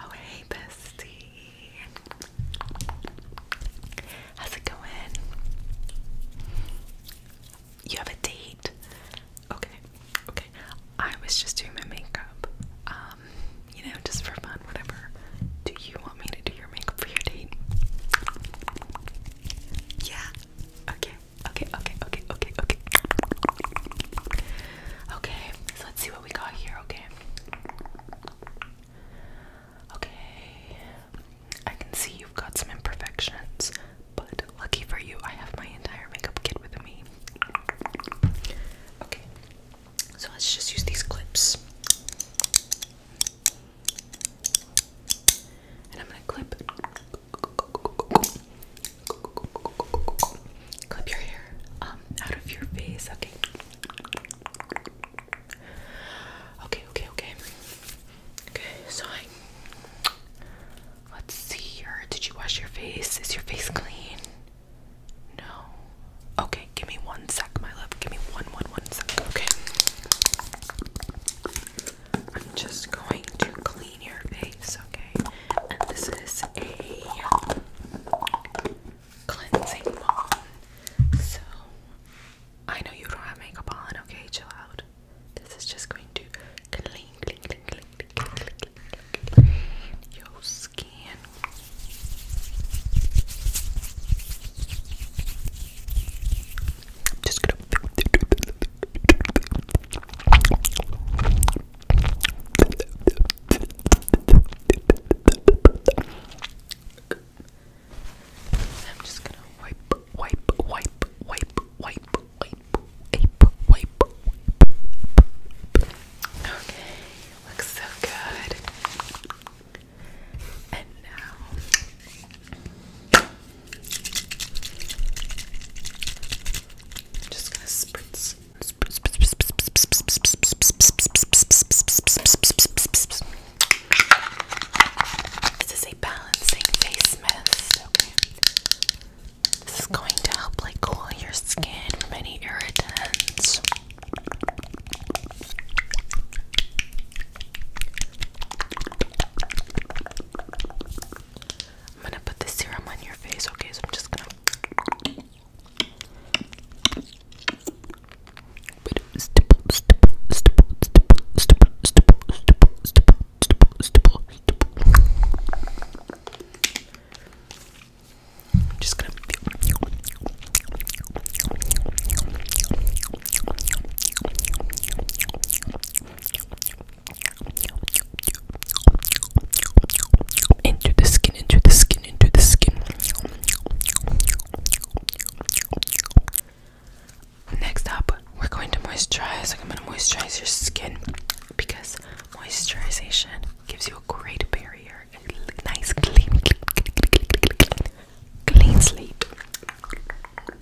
Oh, hey, bestie. How's it going? You have a date? Okay, okay. I was just doing my makeup. Um, you know, just for fun, whatever. Do you want me to do your makeup for your date? Yeah. Okay. Okay, okay, okay, okay, okay. Okay, so let's see what we got here, okay? Okay, I can see you've got some imperfections, but lucky for you, I have my entire makeup kit with me. Okay, so let's just use these clips. And I'm gonna clip, Clip your hair um, out of your face. Okay. Okay, okay, okay. Okay, so let's see here. Did you wash your face? Is your face clean? No. Okay, give me one sec, my love. Give me one, one, one sec. Okay. I'm just going to clean your face, okay? And this is a cleansing balm. So I know you don't have makeup on, okay? Chill out. This is just going to clean, clean, clean, clean, clean, clean, clean, clean your skin. I'm just gonna I'm just gonna wipe, wipe, wipe, wipe, wipe, wipe, wipe, wipe. Okay, looks so good. And now just gonna spritz. This is a balancing face mist. This is going to help like cool your skin from any irritants. I'm gonna put the serum on your face, okay? So I'm just gonna. I'm just gonna. Into the skin, into the skin, into the skin. Next up, we're going to moisturize. Like I'm going to moisturize your skin because moisturization gives you a great barrier, a nice, clean, clean, clean, clean, clean, clean, clean slate.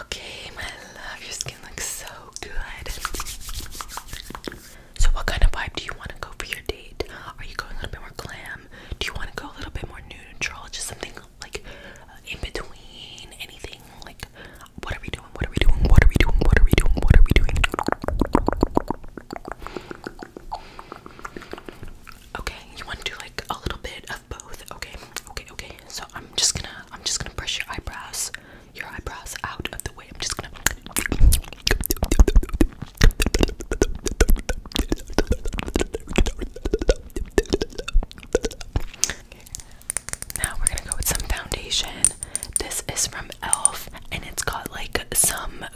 Okay, my love, your skin looks so good. So, what kind of vibe do you want to go for your date? Are you going a little bit more glam? Do you want to go a little bit more neutral? Just something like uh, in between? Anything like what are we doing? What are we doing? What are we doing? What are we doing? What are we doing? Okay, you want to do like a little bit of both. Okay, okay, okay. So I'm just gonna, I'm just gonna brush your eyebrows, your eyebrows out of the way. I'm just gonna. Now we're gonna go with some foundation. This is from Elf, and it's got like some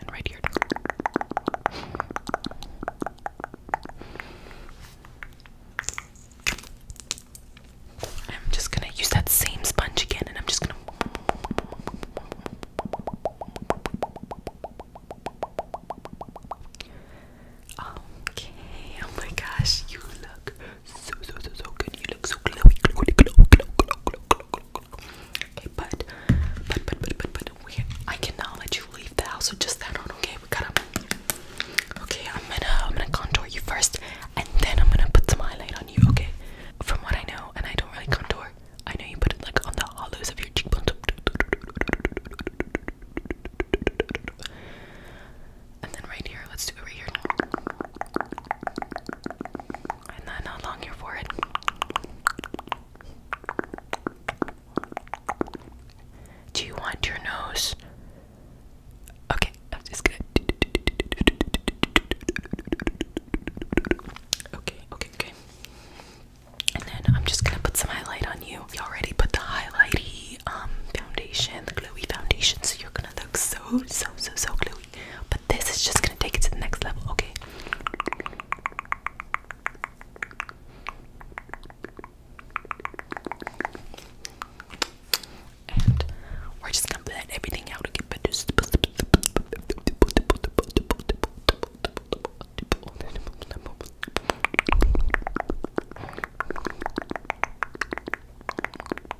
and right here. I'm just gonna use that same sponge again, and I'm just gonna. Okay. Oh my gosh, you look so so so so good. You look so glowy, glowy, glow, glow, glow, glow, glow, glow, Okay, but but but but but but I cannot let you leave the house with just that on. Okay, we gotta. Okay, I'm gonna I'm gonna contour you first, and then I'm gonna put some highlight on you. Okay, from what I know, and I don't really contour. I know you put it like on the hollows of your cheekbones, and then right here. Let's do it here. And then along your forehead. Do you want your nose? Okay, I'm just gonna. Okay, okay, okay. And then I'm just gonna put some highlight on you. You already put the highlighty um foundation, the glowy foundation, so you're gonna look so so so so glowy. But this is just gonna take it to the next level, okay? And we're just gonna blend everything out again. But this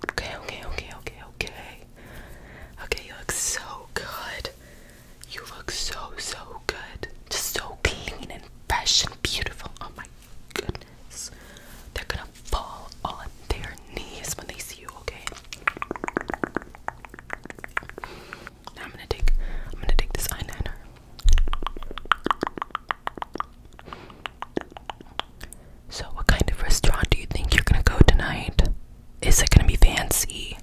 Okay, okay, okay, okay, okay. Okay, you look so good. You look so, so good. Just so clean and fresh and beautiful. Oh my goodness. They're gonna fall on their knees when they see you, okay? Now I'm gonna take I'm gonna take this eyeliner. So, what kind of restaurant do you think you're gonna go tonight? Is it gonna be fancy?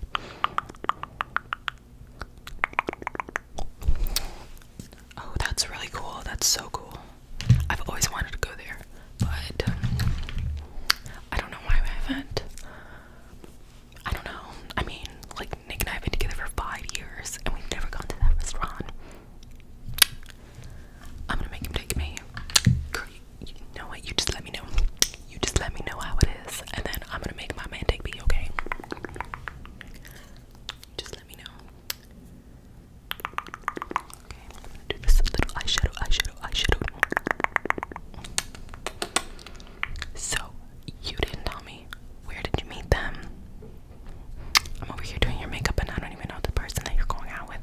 Oh, that's really cool. That's so cool. I've always wanted to go there, but I don't know why I haven't. I don't know. I mean, like, Nick and I have been together for five years, and we've never gone to that restaurant. I'm gonna make him take me. Girl, you, know what? You just let me know. You just let me know how it is, and then I'm gonna make my man take me, okay? Just let me know. Okay, do this little eyeshadow, eyeshadow, eyeshadow. So, you didn't tell me. Where did you meet them? I'm over here doing your makeup, and I don't even know the person that you're going out with.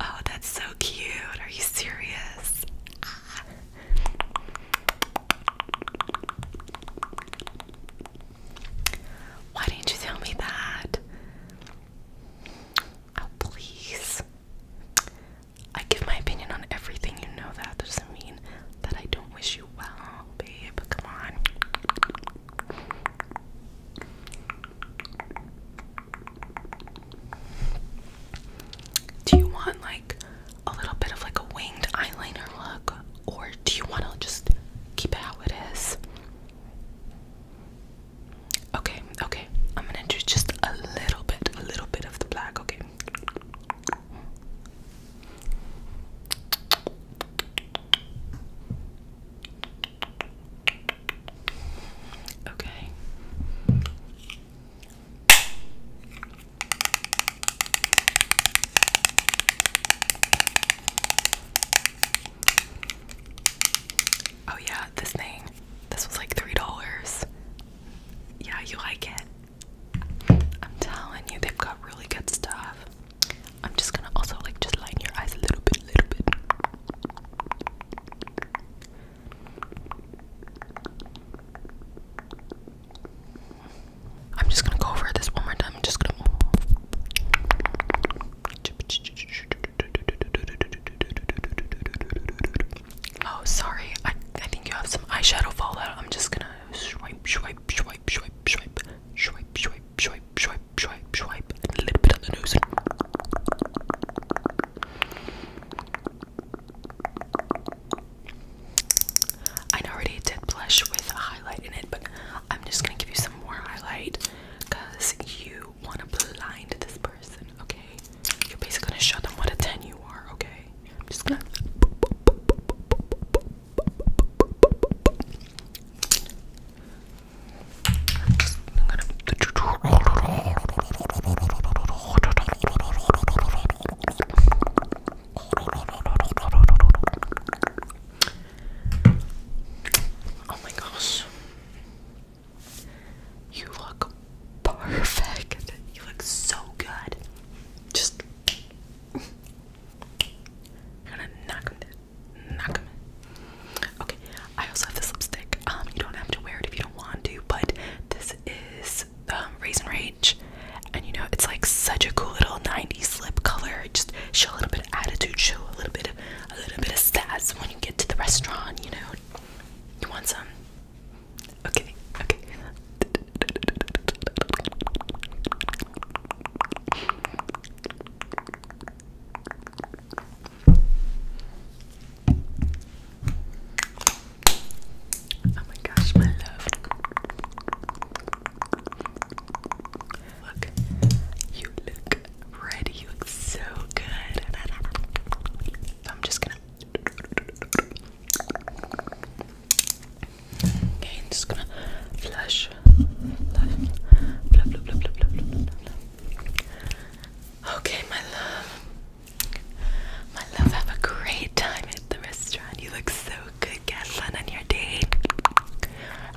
Oh, that's so cute. Are you serious? Ah. Why didn't you tell me that? Oh, please. I give my opinion on everything, you know That doesn't mean that I don't wish you well babe, come on. Do you want like a little bit of like a winged eyeliner look, or do you want to just keep it how it is? Okay, okay. I'm gonna do just a little bit, a little bit of the black, okay? Okay. Oh yeah, this thing. This was like $3. Yeah, you like it. I'm telling you, they've got really good stuff. I'm just gonna also like just line your eyes a little bit, a little bit. I'm just gonna go over this one more time. I'm just gonna. Oh, sorry. I I think you have some eyeshadow fallout. I'm just gonna swipe, swipe, swipe, swipe, swipe, swipe, swipe, swipe, swipe, swipe, swipe, and a little bit on the nose. I already did blush with a highlight in it, but I'm just gonna give you some more highlight because you wanna blind this person, okay? You're basically gonna show them what a 10 you are, okay? I'm just gonna Oh my gosh. You look perfect. You look so good. Just i gonna knock Knock Okay. I also have this lipstick. Um, you don't have to wear it if you don't want to, but this is um Raisin Rage. And you know, it's like such a cool little 90s lip color. Just show a little bit of attitude, show a little bit of a little bit of sass when you get to the restaurant, you know. You want some? Okay, okay. Oh my gosh, my love. Look, you look ready. You look so good. I'm just gonna Okay, I'm just gonna flush. Okay, my love. My love, have a great time at the restaurant. You look so good. Get on your date.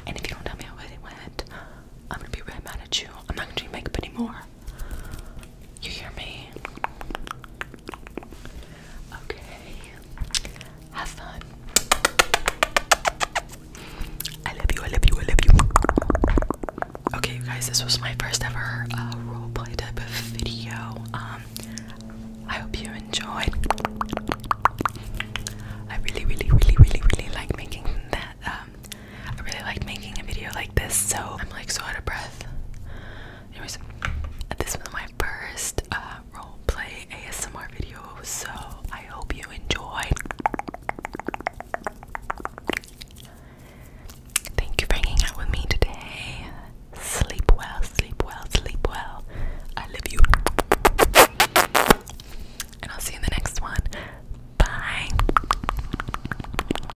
And if you don't tell me how it went, I'm gonna be really mad at you. I'm not gonna do makeup anymore. You hear me? Okay. Have fun. I love you, I love you, I love you. Okay, you guys, this was my first ever uh, roleplay type of video. Um, I hope you enjoyed. I really, really, really, really, really like making that. Um, I really like making a video like this, so I'm like so out of breath. Anyways, this was my first uh, role play ASMR video, so I hope you enjoyed. Thank you for hanging out with me today. Sleep well, sleep well, sleep well. I love you. And I'll see you in the next one. Bye.